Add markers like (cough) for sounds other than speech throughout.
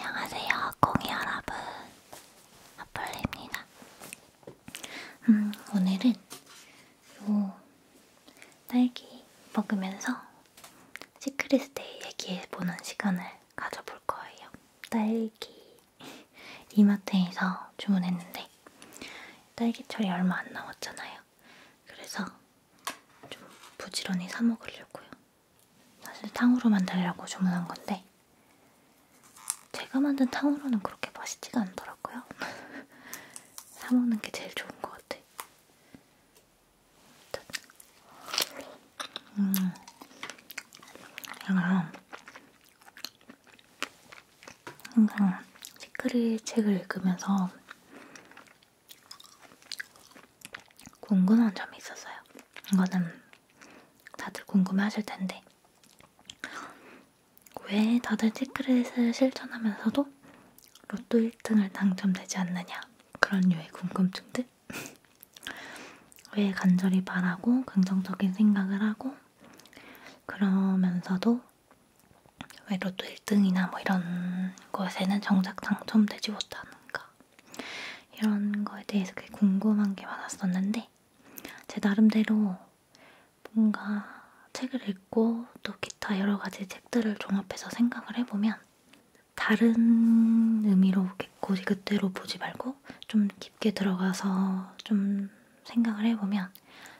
안녕하세요, 공이 여러분. 아플입니다. 음, 오늘은 요 딸기 먹으면서 시크릿스테이 얘기해보는 시간을 가져볼 거예요. 딸기 이마트에서 주문했는데 딸기철이 얼마 안 남았잖아요. 그래서 좀 부지런히 사 먹으려고요. 사실 탕후루 만들려고 주문한 건데 제가 만든 탕후루는 그렇게 맛있지가 않더라고요. (laughs) 사먹는 게 제일 좋은 것 같아. 음, 제가 항상 시크릿 책을 읽으면서 궁금한 점이 있었어요. 이거는 다들 궁금해하실 텐데 왜 다들 시크릿을 실천하면서도 로또 1등을 당첨되지 않느냐 그런 유의 궁금증들 (laughs) 왜 간절히 바라고 긍정적인 생각을 하고 그러면서도 왜 로또 1등이나 뭐 이런 것에는 정작 당첨되지 못하는가 이런 거에 대해서 궁금한 게 많았었는데 제 나름대로 뭔가 책을 읽고 또 기타 여러 가지 책들을 종합해서 생각을 해보면 다른 의미로 고지 그대로 보지 말고 좀 깊게 들어가서 좀 생각을 해보면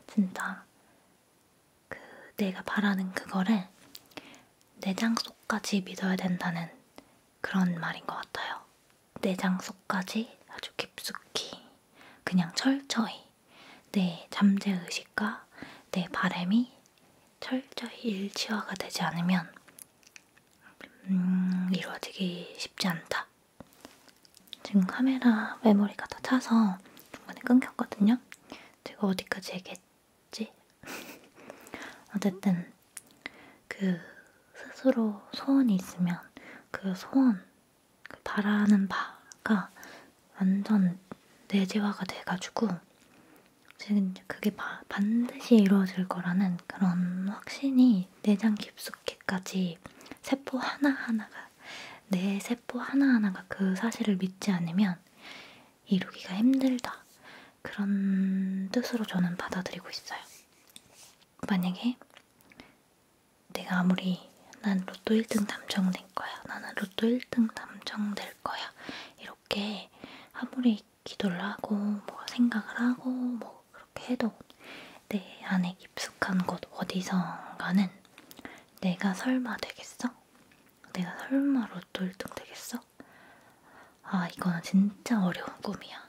진짜 그 내가 바라는 그거를 내장 속까지 믿어야 된다는 그런 말인 것 같아요. 내장 속까지 아주 깊숙이 그냥 철저히 내 잠재의식과 내 바램이 철저히 일치화가 되지 않으면 음, 이루어지기 쉽지 않다. 지금 카메라 메모리가 다 차서 중간에 끊겼거든요. 제가 어디까지 얘기했지? (laughs) 어쨌든 그 스스로 소원이 있으면 그 소원, 그 바라는 바가 완전 내재화가 돼가지고 지금 그게 바, 반드시 이루어질 거라는 그런 확신이 내장 깊숙이까지 세포 하나하나가 내 세포 하나하나가 그 사실을 믿지 않으면 이루기가 힘들다 그런 뜻으로 저는 받아들이고 있어요. 만약에 내가 아무리 난 로또 1등 당첨될 거야, 나는 로또 1등 당첨될 거야 이렇게 아무리 기도를 하고 뭐 생각을 하고 뭐 그렇게 해도 내 안에 깊숙한 곳 어디선가는 내가 설마 되겠어? 내가 설마 로또 1등 되겠어? 아, 이거는 진짜 어려운 꿈이야.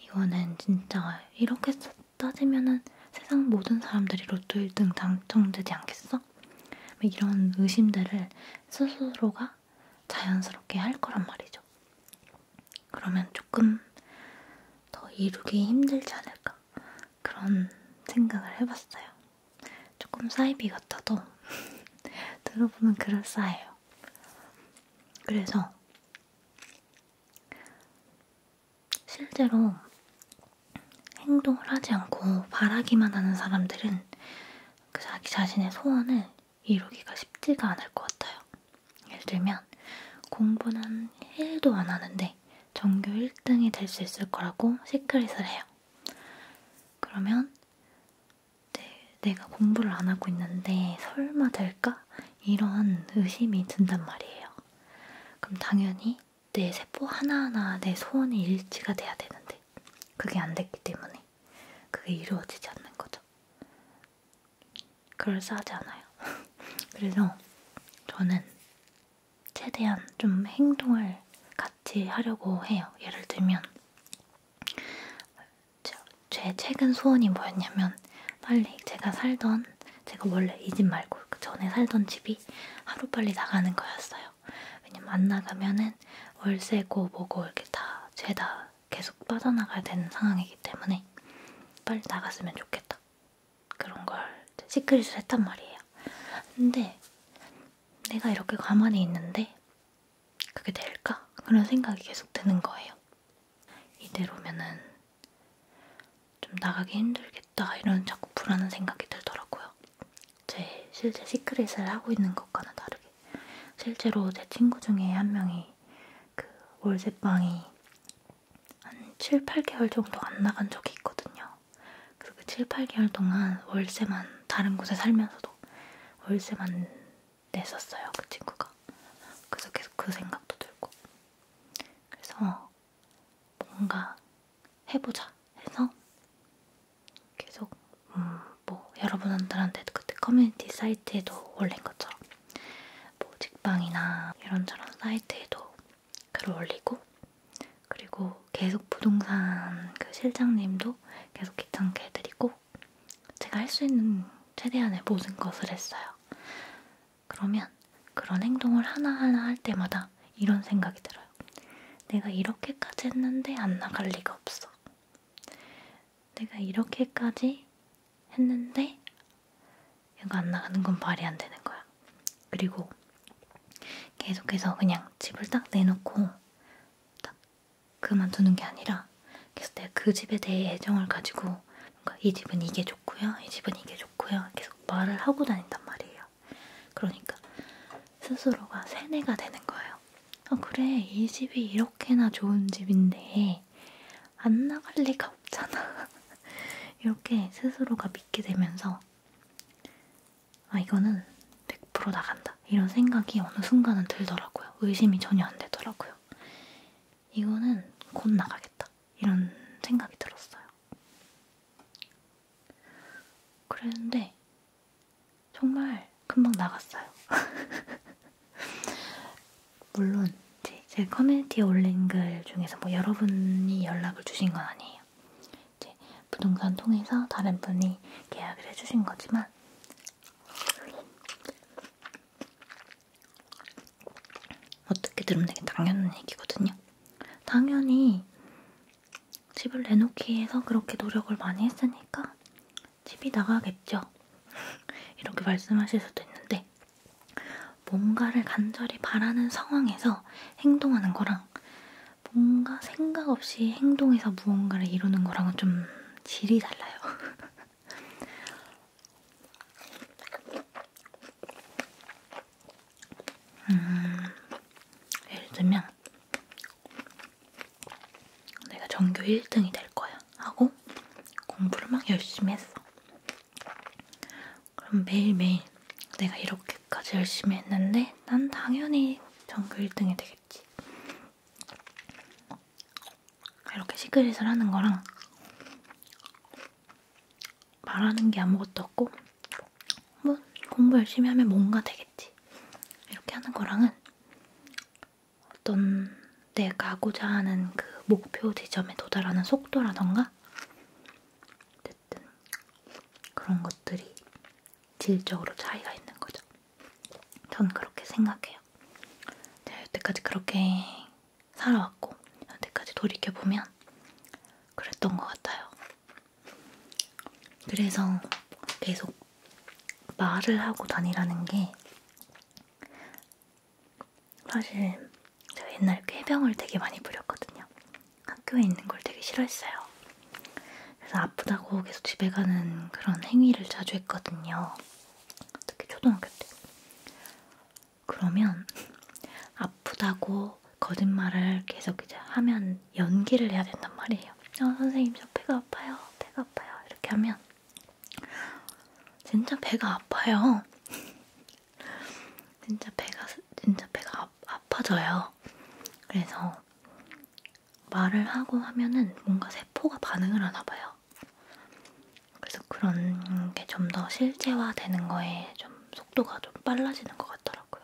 이거는 진짜 이렇게 따지면은 세상 모든 사람들이 로또 1등 당첨되지 않겠어? 뭐 이런 의심들을 스스로가 자연스럽게 할 거란 말이죠. 그러면 조금 더 이루기 힘들지 않을까? 그런 생각을 해봤어요. 조금 사이비 같아도 (laughs) 들어보면 그럴싸해요. 그래서 실제로 행동을 하지 않고 바라기만 하는 사람들은 그 자기 자신의 소원을 이루기가 쉽지가 않을 것 같아요. 예를 들면 공부는 1도 안 하는데 전교 1등이 될 수 있을 거라고 시크릿을 해요. 그러면 네, 내가 공부를 안 하고 있는데 설마 될까? 이런 의심이 든단 말이에요. 그럼 당연히 내 세포 하나하나 내 소원이 일치가 돼야 되는데 그게 안 됐기 때문에 그게 이루어지지 않는 거죠. 그럴싸하지 않아요. (laughs) 그래서 저는 최대한 좀 행동을 같이 하려고 해요. 예를 들면 제 최근 소원이 뭐였냐면 빨리 제가 살던 제가 원래 이 집 말고 그 전에 살던 집이 하루빨리 나가는 거였어요. 왜냐면 안 나가면은 월세고 뭐고 이렇게 다 죄다 계속 빠져나가야 되는 상황이기 때문에 빨리 나갔으면 좋겠다. 그런 걸 시크릿을 했단 말이에요. 근데 내가 이렇게 가만히 있는데 그게 될까? 그런 생각이 계속 드는 거예요. 이대로면은 좀 나가기 힘들겠다 이런 자꾸 불안한 생각이 들더라고요. 제 실제 시크릿을 하고 있는 것과는 다르게 실제로 제 친구 중에 한 명이 그 월세방이 한 7, 8개월 정도 안 나간 적이 있거든요. 그래서 그 7, 8개월 동안 월세만 다른 곳에 살면서도 월세만 냈었어요 그 친구가. 그래서 계속 그 생각도 들고. 그래서 뭔가 해보자 해서 계속 음, 뭐 여러분들한테 그때 커뮤니티 사이트에도 올린 것처럼 뭐 직방이나 이런저런 사이트에도 글을 올리고 그리고 계속 부동산 그 실장님도 계속 귀찮게 해드리고 하고 제가 할 수 있는 최대한의 모든 것을 했어요. 그러면 그런 행동을 하나하나 할 때마다 이런 생각이 들어요. 내가 이렇게까지 했는데 안 나갈 리가 없어. 내가 이렇게까지 했는데 이거 안 나가는 건 말이 안 되는 거야. 그리고 계속해서 그냥 집을 딱 내놓고 딱 그만두는 게 아니라 계속 내가 그 집에 대해 애정을 가지고 뭔가 이 집은 이게 좋고요, 이 집은 이게 좋고요 계속 말을 하고 다닌단 말이에요. 그러니까 스스로가 세뇌가 되는 거예요. 아 그래 이 집이 이렇게나 좋은 집인데 안 나갈 리가 없잖아. (laughs) 이렇게 스스로가 믿게 되면서 아 이거는 100% 나간다 이런 생각이 어느 순간은 들더라고요. 의심이 전혀 안 되더라고요. 있었어요. 이거는 곧 나가겠다. 이런 생각이 들었어요. 그랬는데, 정말 금방 나갔어요. (laughs) 물론, 제 커뮤니티에 올린 글 중에서 뭐 여러분이 연락을 주신 건 아니에요. 이제 부동산 통해서 다른 분이 계약을 해주신 거지만, 어떻게 들으면 되게 당연한 얘기거든요. 당연히 집을 내놓기 위해서 그렇게 노력을 많이 했으니까 집이 나가겠죠. (laughs) 이렇게 말씀하실 수도 있는데 뭔가를 간절히 바라는 상황에서 행동하는 거랑 뭔가 생각 없이 행동해서 무언가를 이루는 거랑은 좀 질이 달라요. (laughs) 음, 예를 들면 내가 전교 1등이 될 거야 하고 공부를 막 열심히 했어. 그럼 매일매일 내가 이렇게까지 열심히 했는데 난 당연히 전교 1등이 되겠지. 이렇게 시크릿을 하는 거랑 말하는 게 아무것도 없고 뭐 공부 열심히 하면 뭔가 되겠지 이렇게 하는 거랑은 어떤 내가 하고자 하는 그 목표 지점에 도달하는 속도라던가 어쨌든 그런 것들이 질적으로 차이가 있는 거죠. 전 그렇게 생각해요. 제가 여태까지 그렇게 살아왔고 여태까지 돌이켜보면 그랬던 것 같아요. 그래서 계속 말을 하고 다니라는 게 사실 제가 옛날에 꾀병을 되게 많이 부렸거든요. 학교에 있는 걸 되게 싫어했어요. 그래서 아프다고 계속 집에 가는 그런 행위를 자주 했거든요. 특히 초등학교 때. 그러면 아프다고 거짓말을 계속 이제 하면 연기를 해야 된단 말이에요. 어, 선생님 저 배가 아파요. 배가 아파요. 이렇게 하면 진짜 배가 아파요. (laughs) 진짜 배가 진짜 배가 아, 아파져요. 그래서 말을 하고 하면은 뭔가 세포가 반응을 하나 봐요. 그래서 그런 게 좀 더 실제화되는 거에 좀 속도가 좀 빨라지는 것 같더라고요.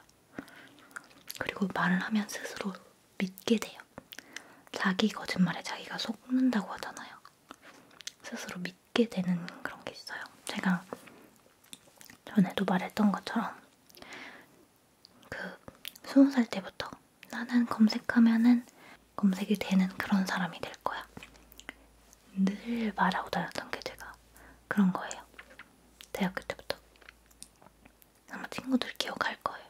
그리고 말을 하면 스스로 믿게 돼요. 자기 거짓말에 자기가 속는다고 하잖아요. 스스로 믿게 되는 그런 게 있어요. 제가 전에도 말했던 것처럼 그 스무 살 때부터 나는 검색하면은 검색이 되는 그런 사람이 될 거야. 늘 말하고 다녔던 게 제가 그런 거예요. 대학교 때부터. 아마 친구들 기억할 거예요.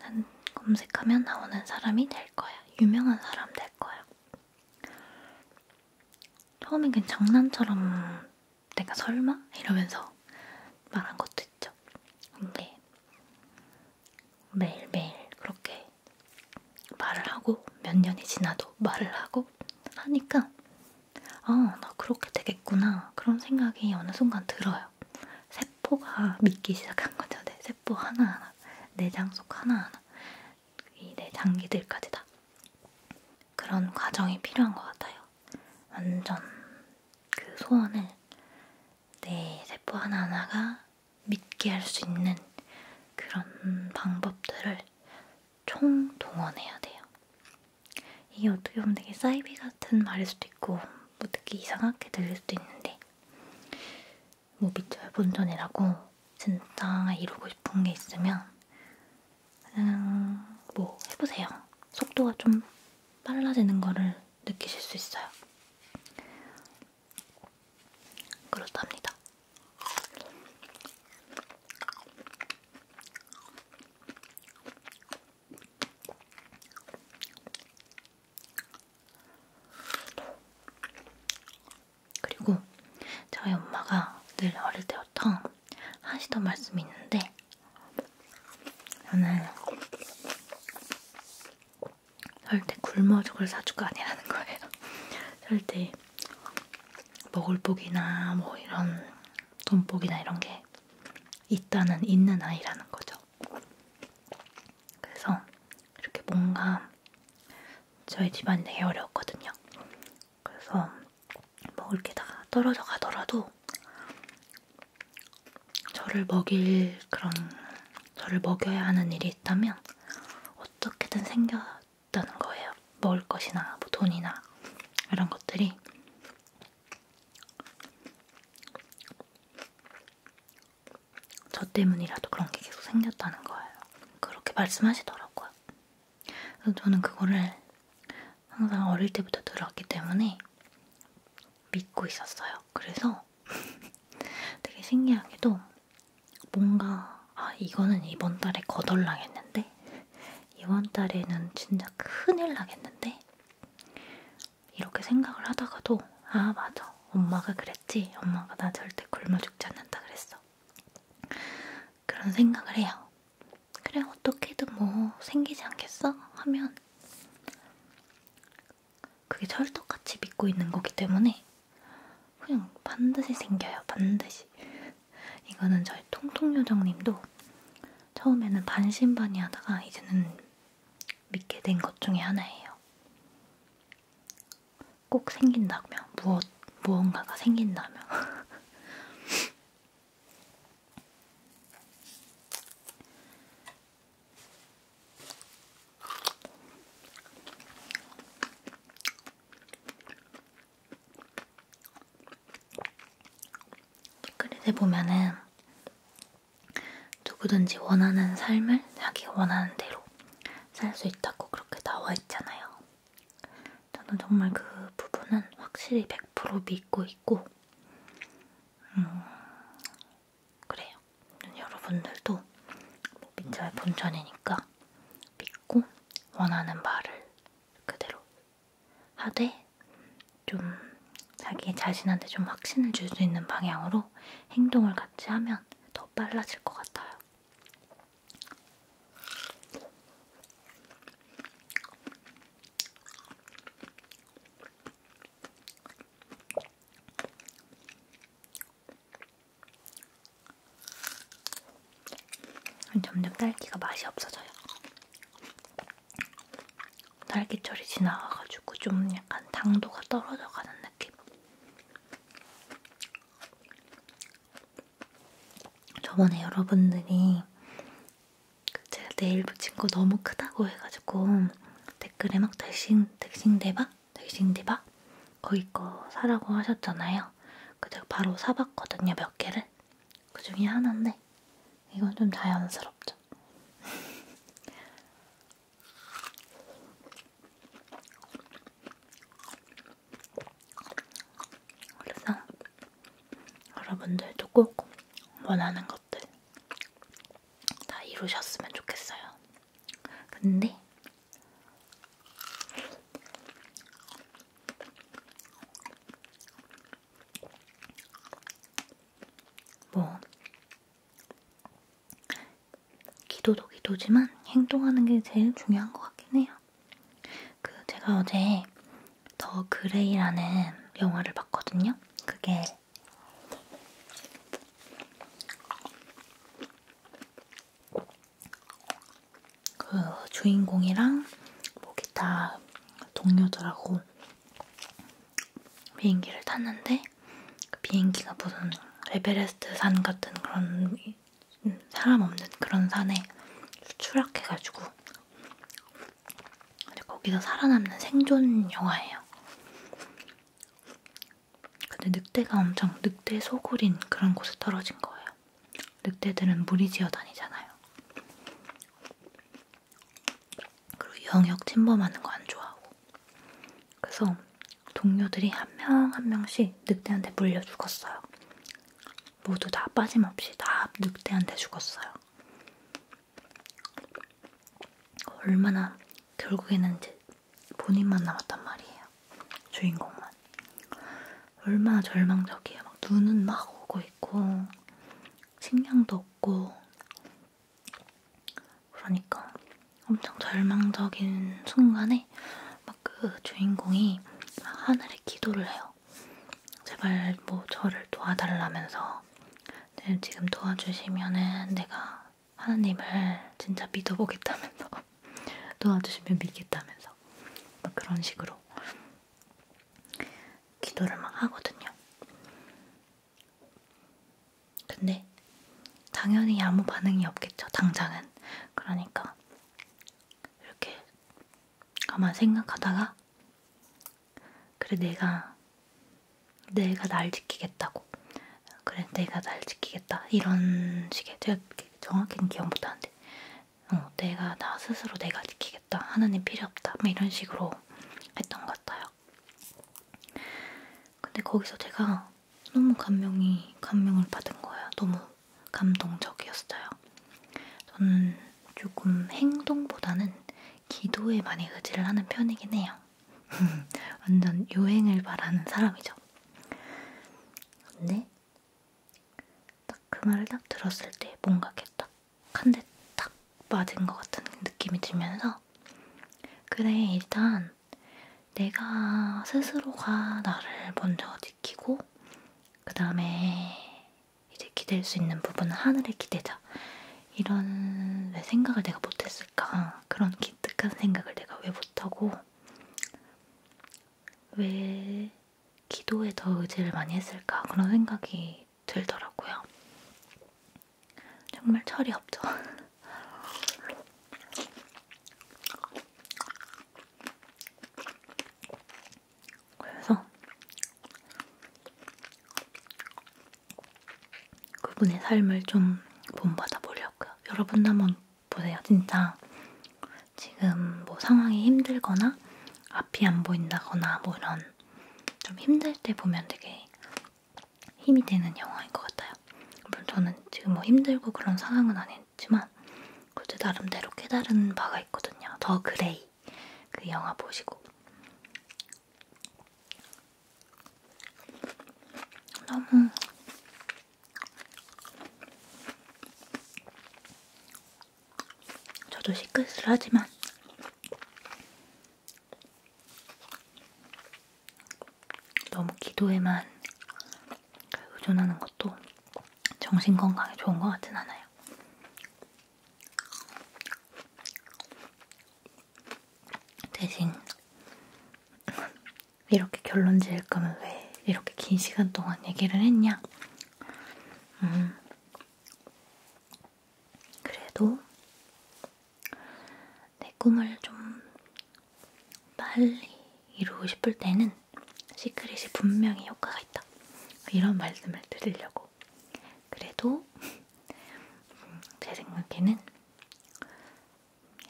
난 검색하면 나오는 사람이 될 거야. 유명한 사람 될 거야. 처음엔 그냥 장난처럼 내가 설마? 이러면서 말한 것도 있죠. 근데 매일매일 그렇게 말을 하고 몇 년이 지나도 말을 하고 하니까 아, 나 그렇게 되겠구나 그런 생각이 어느 순간 들어요. 세포가 믿기 시작한 거죠. 내 세포 하나하나, 내장 속 하나하나, 이 내 장기들까지 다 그런 과정이 필요한 것 같아요. 완전 그 소원을 내 세포 하나하나가 믿게 할 수 있는 그런 방법들을 총동원해야 돼요. 이게 어떻게 보면 되게 사이비 같은 말일 수도 있고 뭐 되게 이상하게 들릴 수도 있는데 뭐 밑절 본전이라고 진짜 이루고 싶은 게 있으면 그냥 뭐 해보세요. 속도가 좀 빨라지는 거를 느끼실 수 있어요. 그렇답니다. 그리고 저희 엄마가 늘 어릴 때부터 하시던 말씀이 있는데 저는 절대 굶어 죽을 사주가 아니라는 거예요. 절대 (laughs) 먹을 복이나 뭐 이런 돈복이나 이런 게 있다는 있는 아이라는 거죠. 그래서 이렇게 뭔가 저희 집안이 되게 어려웠거든요. 그래서 먹을 뭐 게다 떨어져 가더라도 저를 먹일 그런 저를 먹여야 하는 일이 있다면 어떻게든 생겼다는 거예요. 먹을 것이나 뭐 돈이나 이런 것들이 저 때문이라도 그런 게 계속 생겼다는 거예요. 그렇게 말씀하시더라고요. 그래서 저는 그거를 항상 어릴 때부터 들었기 때문에 믿고 있었어요. 그래서 (laughs) 되게 신기하게도 뭔가 아 이거는 이번 달에 거덜나겠는데 이번 달에는 진짜 큰일 나겠는데 이렇게 생각을 하다가도 아 맞아 엄마가 그랬지 엄마가 나 절대 굶어 죽지 않는다 그랬어 그런 생각을 해요 그래 어떻게든 뭐 생기지 않겠어 하면 그게 철떡같이 믿고 있는 거기 때문에 그냥 반드시 생겨요. 반드시. 이거는 저희 통통요정님도 처음에는 반신반의하다가 이제는 믿게 된 것 중에 하나예요. 꼭 생긴다며 무엇 무언가가 생긴다며. (laughs) 댓글에 보면은 누구든지 원하는 삶을 자기 원하는 대로 살 수 있다고 그렇게 나와 있잖아요. 저는 정말 그 부분은 확실히 100% 믿고 있고, 음, 그래요. 여러분들도 뭐 민자의 본전이니까 믿고 원하는 말을 그대로 하되 좀 자기 자신한테 좀 확신을 줄 수 있는 방향으로 행동을 같이 하면 더 빨라질 것 같아요. 점점 딸기가 맛이 없어져요. 딸기철이 지나가가지고 좀 약간 당도가 떨어져가는 느낌. 저번에 여러분들이 그 제가 네일 붙인 거 너무 크다고 해가지고 댓글에 막 대신, 대신 대박? 델싱디바 거기 거 사라고 하셨잖아요. 그 제가 바로 사봤거든요, 몇 개를. 그 중에 하나인데 이건 좀 자연스럽죠. (laughs) 그래서 여러분들도 꼭 원하는 것들 다 이루셨으면 좋겠어요. 근데 뭐 기도도 기도지만 행동하는 게 제일 중요한 것 같긴 해요. 그 제가 어제 더 그레이라는 영화를 봤거든요. 그게 그 주인공이랑 뭐 기타 동료들하고 비행기를 탔는데 그 비행기가 무슨 에베레스트 산 같은 그런 사람 없는 그런 산에 추락해가지고 거기서 살아남는 생존 영화예요. 근데 늑대가 엄청 늑대 소굴인 그런 곳에 떨어진 거예요. 늑대들은 무리지어 다니잖아요. 그리고 영역 침범하는 거 안 좋아하고. 그래서 동료들이 한 명한 한 명씩 늑대한테 물려 죽었어요. 모두 다 빠짐없이 다 늑대한테 죽었어요. 얼마나 결국에는 이제 본인만 남았단 말이에요. 주인공만. 얼마나 절망적이에요. 막 눈은 막 오고 있고, 식량도 없고. 그러니까 엄청 절망적인 순간에 막 그 주인공이 막 하늘에 기도를 해요. 제발 뭐 저를 도와달라면서 네, 지금 도와주시면은 내가 하나님을 진짜 믿어보겠다면서 (laughs) 도와주시면 믿겠다면서 막 뭐 그런 식으로 기도를 막 하거든요. 근데 당연히 아무 반응이 없겠죠. 당장은 그러니까 이렇게 가만 생각하다가 그래 내가 내가 날 지키겠다고 그래 내가 날 지키겠다 이런 식의 제가 정확히는 기억 못하는데 어, 내가 나 스스로 내가 지키겠다 하나님 필요 없다 뭐 이런 식으로 했던 것 같아요 근데 거기서 제가 너무 감명이 감명을 받은 거예요 너무 감동적이었어요 저는 조금 행동보다는 기도에 많이 의지를 하는 편이긴 해요 (laughs) 완전 유행을 바라는 사람이죠. 근데 딱 그 말을 딱 들었을 때 뭔가 이렇게 딱한대딱 딱 맞은 것 같은 느낌이 들면서 그래 일단 내가 스스로가 나를 먼저 지키고 그 다음에 이제 기댈 수 있는 부분은 하늘에 기대자 이런 왜 생각을 내가 못했을까 그런 기특한 생각을 내가 왜 못하고 왜 기도에 더 의지를 많이 했을까 그런 생각이 들더라고요. 정말 철이 없죠. (laughs) 그래서 그분의 삶을 좀 본받아 보려고요. 여러분도 한번 보세요. 진짜 지금 뭐 상황이 힘들거나 앞이 안 보인다거나 뭐 이런 좀 힘들 때 보면 되게 힘이 되는 영화인 것 같아요. 물론 저는 지금 뭐 힘들고 그런 상황은 아니지만 그때 나름대로 깨달은 바가 있거든요. 더 그레이 그 영화 보시고 너무 저도 시크릿을 하지만 너무 기도에만 의존하는 것도 정신 건강에 좋은 것 같진 않아요. 대신 이렇게 결론 지을 거면 왜 이렇게 긴 시간 동안 얘기를 했냐? 음. 그래도 내 꿈을 좀 빨리 이루고 싶을 때는 시크릿이 분명히 효과가 있다. 이런 말씀을 드리려고. 그래도 음, 제 생각에는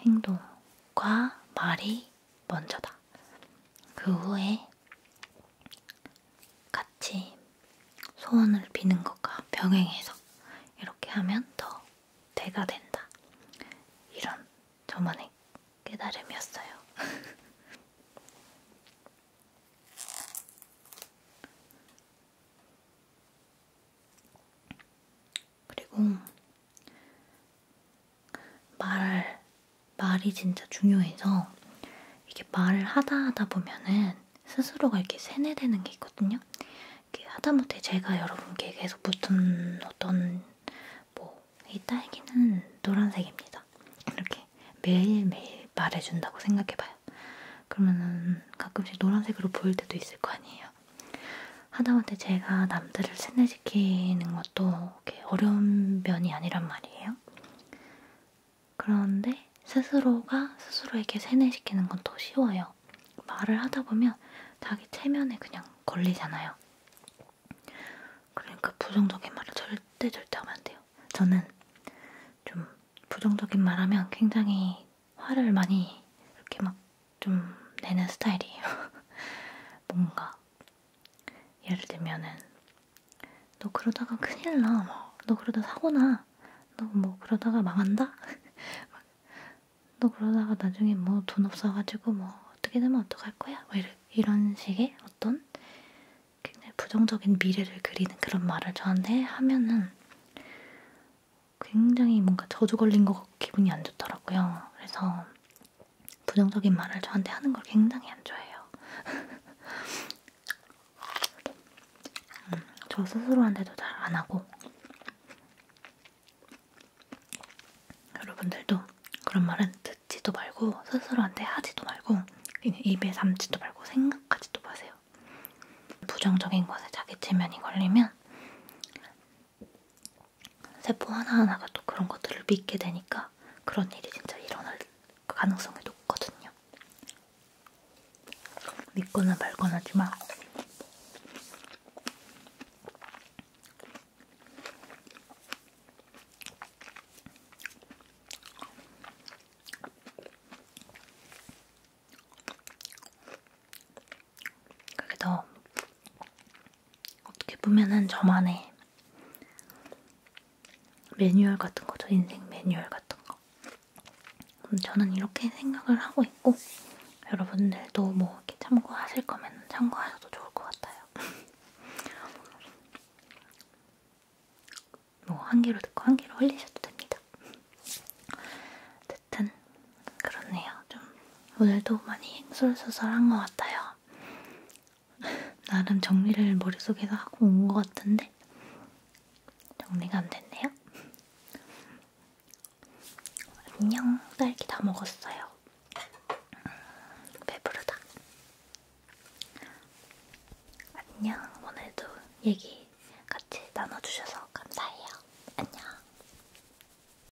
행동과 말이 먼저다. 그 후에 같이 소원을 비는 것과 병행해서 이렇게 하면 더 대가 된다. 이런 저만의 깨달음이었어요. (laughs) 그리고 말, 말이 진짜 중요해서 이게 말을 하다 하다 보면은 스스로가 이렇게 세뇌되는 게 있거든요. 이렇게 하다못해 제가 여러분께 계속 붙은 어떤 뭐 이 딸기는 노란색입니다. 이렇게 매일매일 말해준다고 생각해봐요. 그러면은 가끔씩 노란색으로 보일 때도 있을 거 아니에요. 같아요. 하다못해 제가 남들을 세뇌시키는 것도 어려운 면이 아니란 말이에요. 그런데 스스로가 스스로에게 세뇌시키는 건 더 쉬워요. 말을 하다 보면 자기 체면에 그냥 걸리잖아요. 그러니까 부정적인 말을 절대 절대 하면 안 돼요. 저는 좀 부정적인 말하면 굉장히 화를 많이 이렇게 막좀 내는 스타일이에요. (laughs) 뭔가 예를 들면은 너 그러다가 큰일 나, 뭐. 너 그러다 사고나, 너 뭐 그러다가 망한다, (laughs) 너 그러다가 나중에 뭐 돈 없어가지고 뭐 어떻게 되면 어떡할 거야, 뭐 이런 식의 어떤 굉장히 부정적인 미래를 그리는 그런 말을 저한테 하면은 굉장히 뭔가 저주 걸린 것 같고 기분이 안 좋더라고요. 그래서 부정적인 말을 저한테 하는 걸 굉장히 안 좋아해요. 음, 저 스스로한테도 잘 안 하고 여러분들도 그런 말은 듣지도 말고 스스로한테 하지도 말고 그냥 입에 담지도 말고 생각하지도 마세요. 부정적인 것에 자기 체면이 걸리면 세포 하나하나가 또 그런 것들을 믿게 되니까 그런 일이 진짜 일어날 가능성이 높거든요. 믿거나 말거나 하지만 그래도 어떻게 보면은 저만의 매뉴얼 같은 거죠. 인생 매뉴얼 같은 거. 저는 이렇게 생각을 하고 있고 여러분들도 뭐 이렇게 참고하실 거면 참고하셔도 좋을 것 같아요. (laughs) 뭐한 귀로 듣고 한 귀로 흘리셔도 됩니다. 어쨌든 그렇네요. 좀 오늘도 많이 횡설수설한 것 같아요. (laughs) 나름 정리를 머릿속에서 하고 온 것 같은데 정리가 안 됐네요. 안녕, 딸기 다 먹었어요. 배부르다. 안녕, 오늘도 얘기 같이 나눠주셔서 감사해요. 안녕.